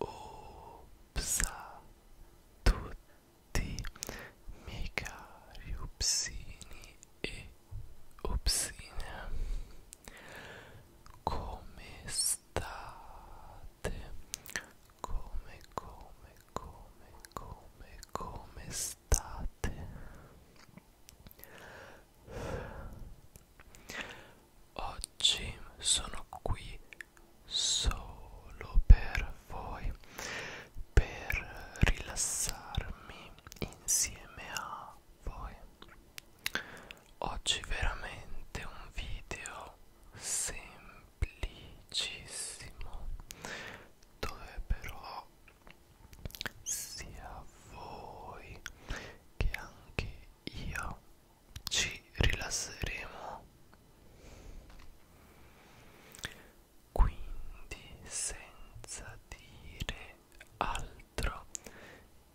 Opsa tutti miei cari upsini e upsine come state? Come, come, come, come, come state? Oggi sono qui solo per voi, per rilassarmi insieme a voi. Oggi veramente un video semplice semplicissimo dove però sia voi che anche io ci rilasseremo quindi senza dire altro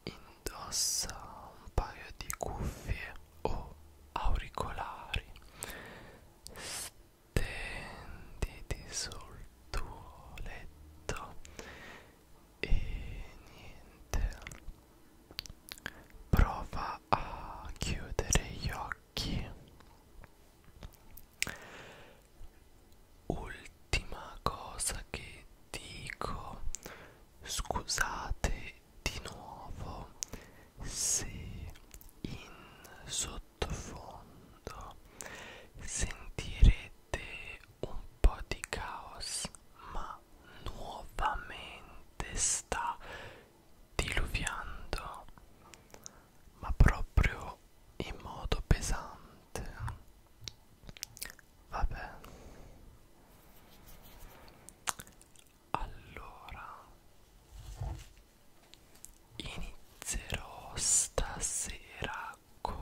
indossa un paio di cuffie o auricolari stenditi sul tuo letto e niente prova a chiudere gli occhi ultima cosa che dico scusate di nuovo se in sottofondo sentirete un po' di caos ma nuovamente sta diluviando ma proprio in modo pesante vabbè allora inizierò stasera con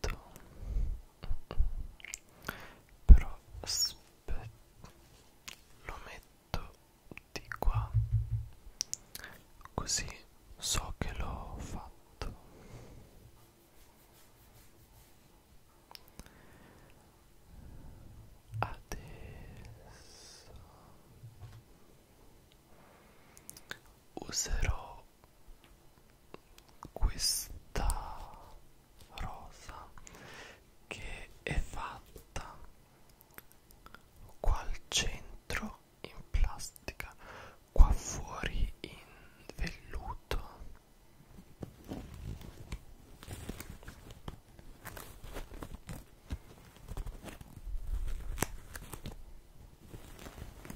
detto però aspetta lo metto di qua così so che l'ho fatto adesso userò questa rosa che è fatta qua al centro in plastica qua fuori in velluto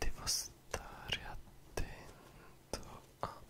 Devo stare attento a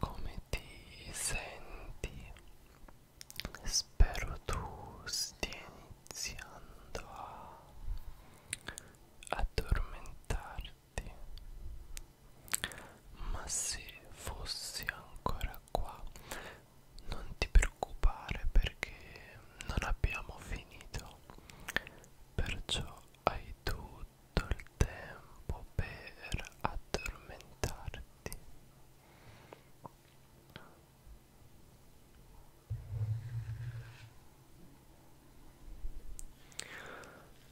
come ti senti spero tu stia iniziando a addormentarti ma se fossi ancora qua non ti preoccupare perché non abbiamo finito perciò hai tutto tutto il tempo per addormentarti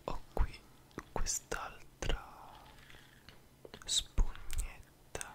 ho qui quest'altra spugnetta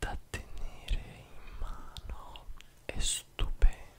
da tenere in mano è stupenda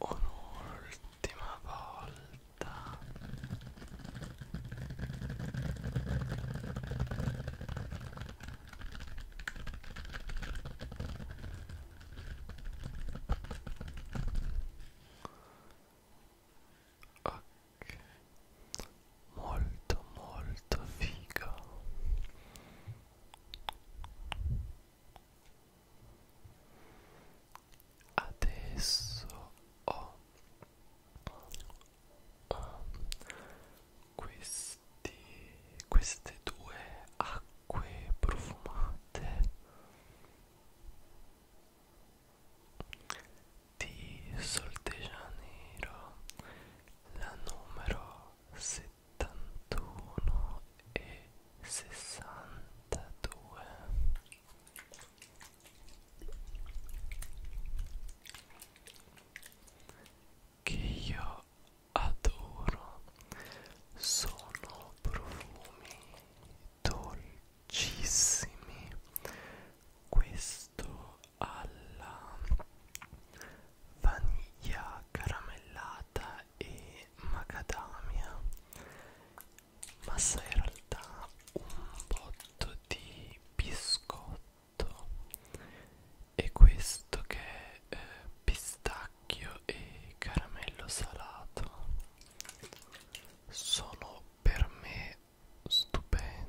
Un'ultima volta. Ok, molto molto figo adesso ho questi, queste due acque profumate di Sol de Janeiro la numero 71 e 62 che io adoro sono profumi dolcissimi questo alla vaniglia caramellata e macadamia ma sa in realtà un botto di biscotto e questo che è eh, pistacchio e caramello salato sono per me stupendi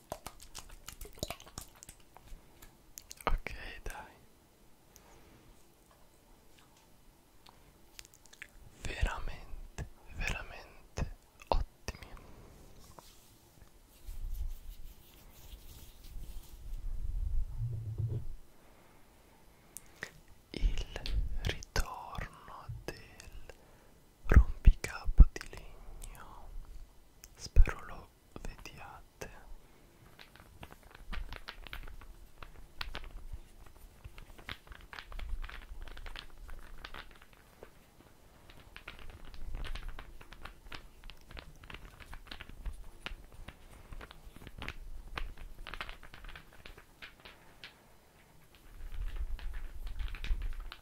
Ok, dai. Veramente, veramente ottimi. Il ritorno del rompicapo di legno spero lo vediate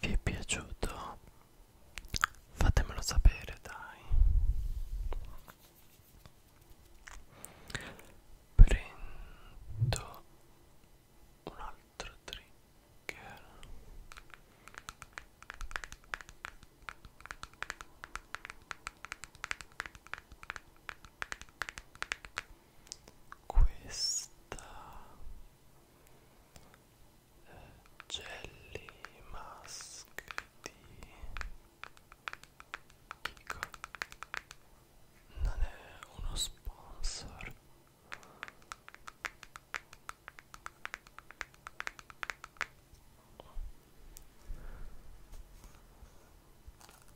vi è piaciuto? Fatemelo sapere, dai. Prendo un altro trigger questa eh, jelly mask di Kiko non è uno sponsor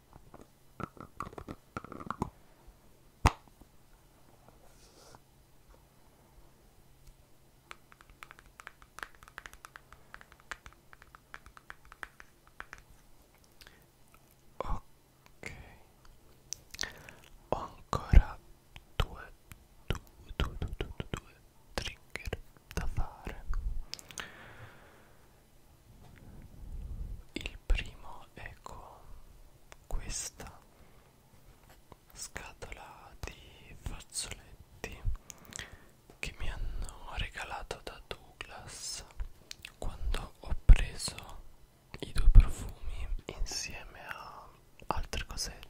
Ok, ho ancora due, due, due, due, due, due trigger da fare il primo è con questa scatola di fazzoletti che mi hanno regalato da Douglas quando ho preso i due profumi insieme a altre cosette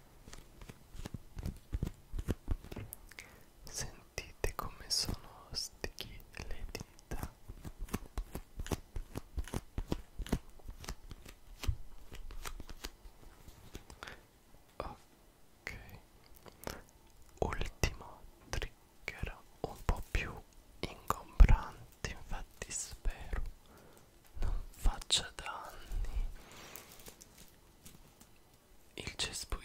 Sentite come sono sticky le dita. Ok. Ultimo trigger un po' più ingombrante, infatti spero non faccia danni il cespuglietto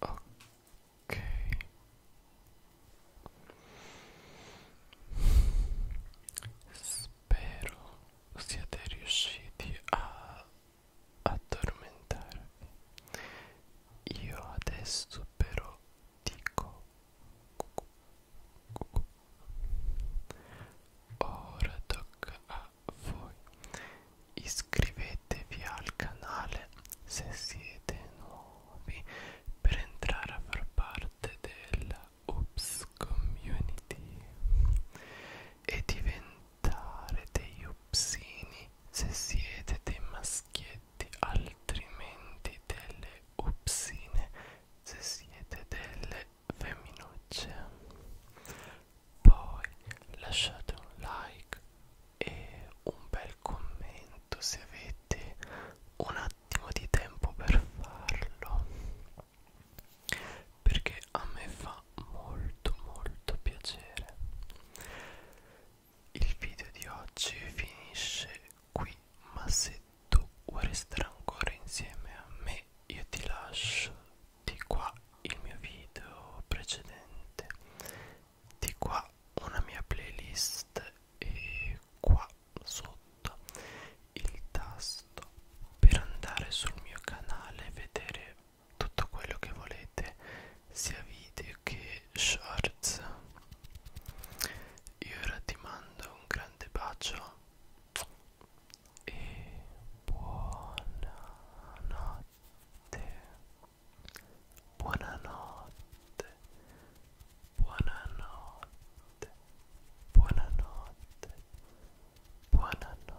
Ok. Spero siate riusciti a addormentarvi. Io adesso però dico ora tocca a voi iscrivetevi al canale se siete nuovi per entrare a far parte della Oops Community e diventare dei upsini se siete dei maschietti effetti altrimenti delle upsine se siete delle femminucce poi lasciate un like e un bel commento se avete un attimo di tempo per farlo perché a me fa molto molto piacere il video di oggi finisce qui ma se tu vuoi restare ancora insieme a me io ti lascio di qua il mio video precedente di qua una mia playlist e qua sotto il tasto per andare sul mio canale e vedere tutto quello che volete sia video che shorts io ora ti mando un grande bacio e buonanotte buonanotte buonanotte buonanotte buonanotte